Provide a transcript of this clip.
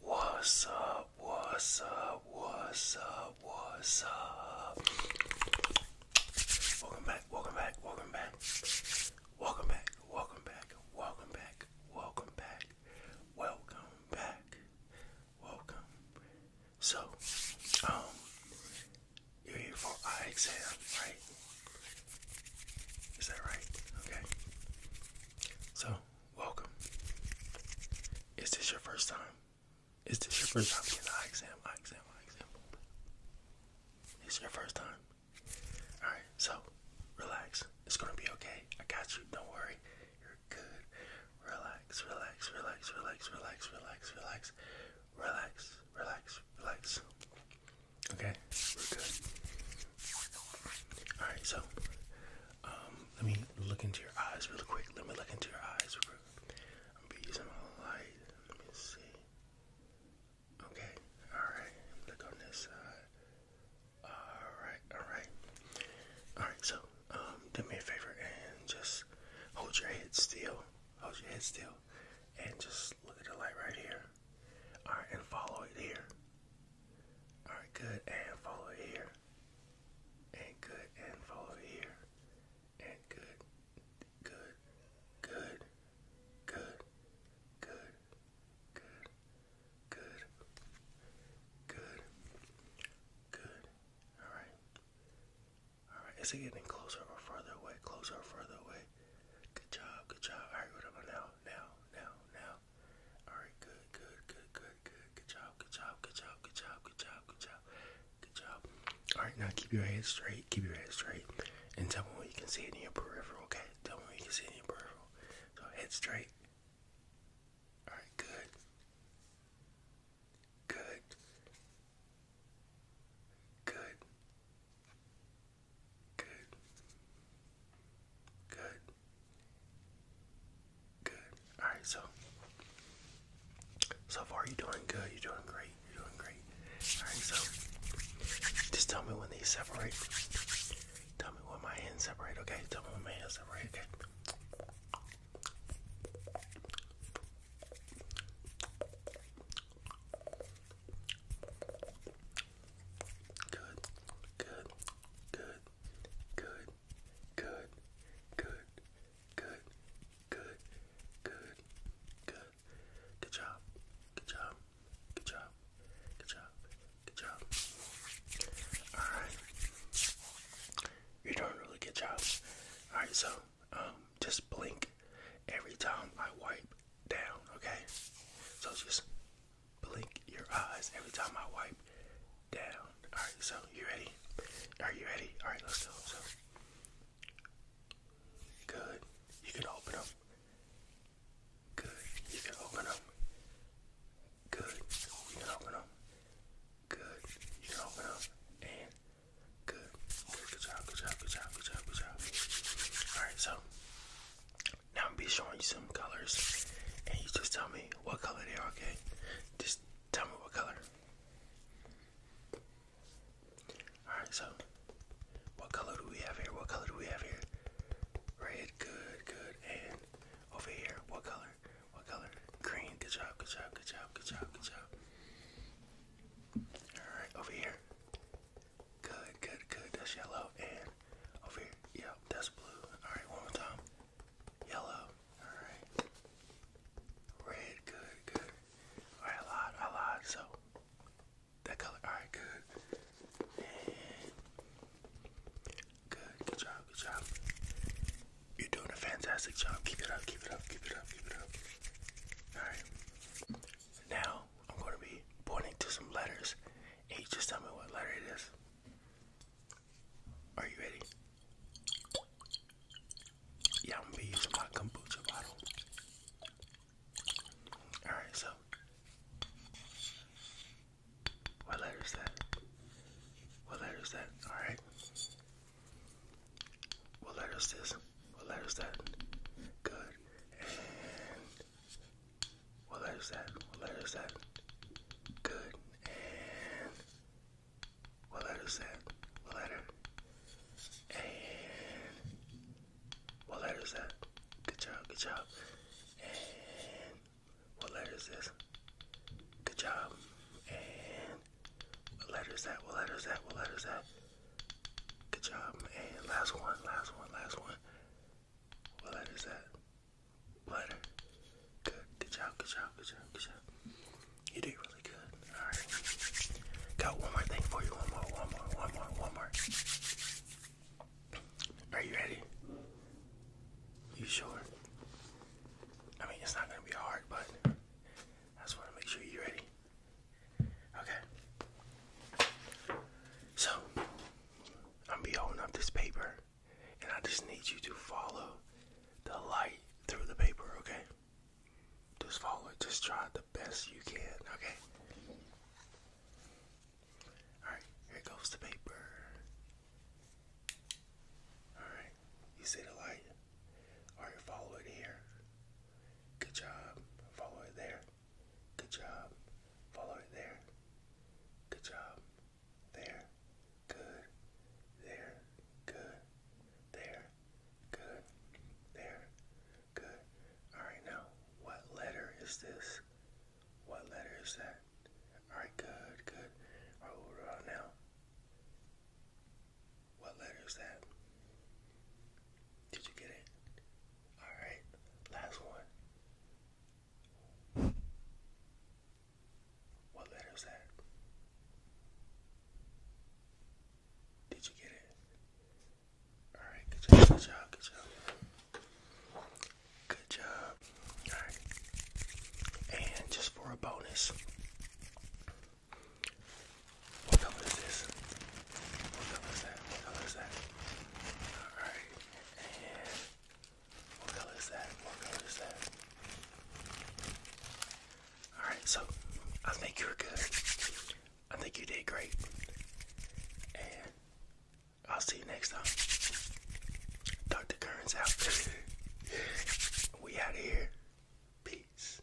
What's up? What's up? What's up? What's up? Welcome back, welcome back, welcome back. Welcome back, welcome back, welcome back, welcome back, welcome So, um, you're here for eye exam, right? Is that right? Okay. So, welcome. Is this your first time? Is this your first time getting an eye exam? Eye exam, eye exam. Is your first time. Alright, so relax. It's gonna be okay. I got you. Don't worry. You're good. Relax, relax, relax, relax, relax, relax, relax, relax, relax, relax. Okay, we're good. All right, so um, let me look into your eyes real quick. Let me look into your eyes. Real quick. I'm gonna be using my light. Let me see. Okay, all right. Look on this side. All right, all right, all right. So um, do me a favor and just hold your head still. Hold your head still, and just look at the light right here. All right, and follow it here. Alright, good and follow here. And good and follow here. And good, good, good, good, good, good, good, good, good. Alright. Alright, is it getting closer or further away? Closer or further away? Good job, good job. Alright, what about now? Now, now, now, Alright, good, good, good, good, good, good job, good job, good job, good job, good job, good job, good job. Alright, now keep your head straight, keep your head straight, and tell me when you can see in your peripheral, okay? Tell me what you can see in your peripheral. So head straight. Alright, good. Good. Good. Good. Good. Good. All right. So, so far you're doing good. You're doing great. You're doing great. All right. So, just tell me when they separate. Tell me when my hands separate. Okay. Tell me when my hands separate. Okay. Good, good, good, good, good, good, good, good, good, good. Good job, good job, good job, good job, good job. Alright. You're doing a really good job. Alright, so um just blink every time I wipe down, okay? So just blink your eyes every time I wipe down. Alright, so you ready? Are you ready? Alright, let's go. So good. You can open them. Good. You can open them. Good. You can open them. Good. You can open them. And Good. Good job. Good job. Good job. Good job. Good job. Alright, so now I'm gonna be showing you some colors, and you just tell me what color they are. Okay, just tell me what color. All right, so what color do we have here? What color do we have here? Red, good, good, and over here, what color? What color? Green. Good job. Good job. Good job. Good job. Good job. All right, over here. Good, good, good. That's yellow. And over here. Yep, that's blue. Alright, one more time. Yellow. Alright. Red, good, good. Alright, I lied, I lied. So, that color. Alright, good. good, good job, good job. You're doing a fantastic job. Keep it up, keep it up, keep it up, keep it up. Alright. Now, I'm going to be pointing to some letters, and just tell me what letter it is. Are you ready? Yeah, I'm going to be using my kombucha bottle. Alright, so. What letter is that? What letter is that? Alright. What letter is this? What letter is that? Good. What letter is that? What letter is that? Good. And what letter is that? What letter? And what letter is that? Good job, good job. And what letter is this? Good job. And what letter is that? What letter is that? What letter is that? Good job. man. last one, last one, last one. What letter is that? Butter. Good. Good job. Good job. Good job. Good job. You did really good. All right. Got one more thing for you. One more. One more. One more. One more. Are you ready? You sure? I mean, it's not gonna be hard, but I just want to make sure you're ready. Okay. So, I'm be holding up this paper, and I just need you to follow the light through the paper, okay? Just follow it. Just try the best you can, okay? Alright, here goes the paper. Alright, you see the light? Alright, follow it here. Good job. Follow it there. Good job. Follow it there. Good job. There. Good. There. Good. There. Good. There. Good. Alright, now, what letter is this? What letter is that? Alright, good, good. Alright, what about now? What letter is that? Did you get it? Alright, last one. What letter that? Did you get it? Alright, good job, good job, good job. Good job. Alright. And just for a bonus, what color is this? What color is that? What color is that? Alright. what color is that? What color is that? Alright, so I think you're good. I think you did great. And I'll see you next time. Dr. Kearns out. we out of here. Peace.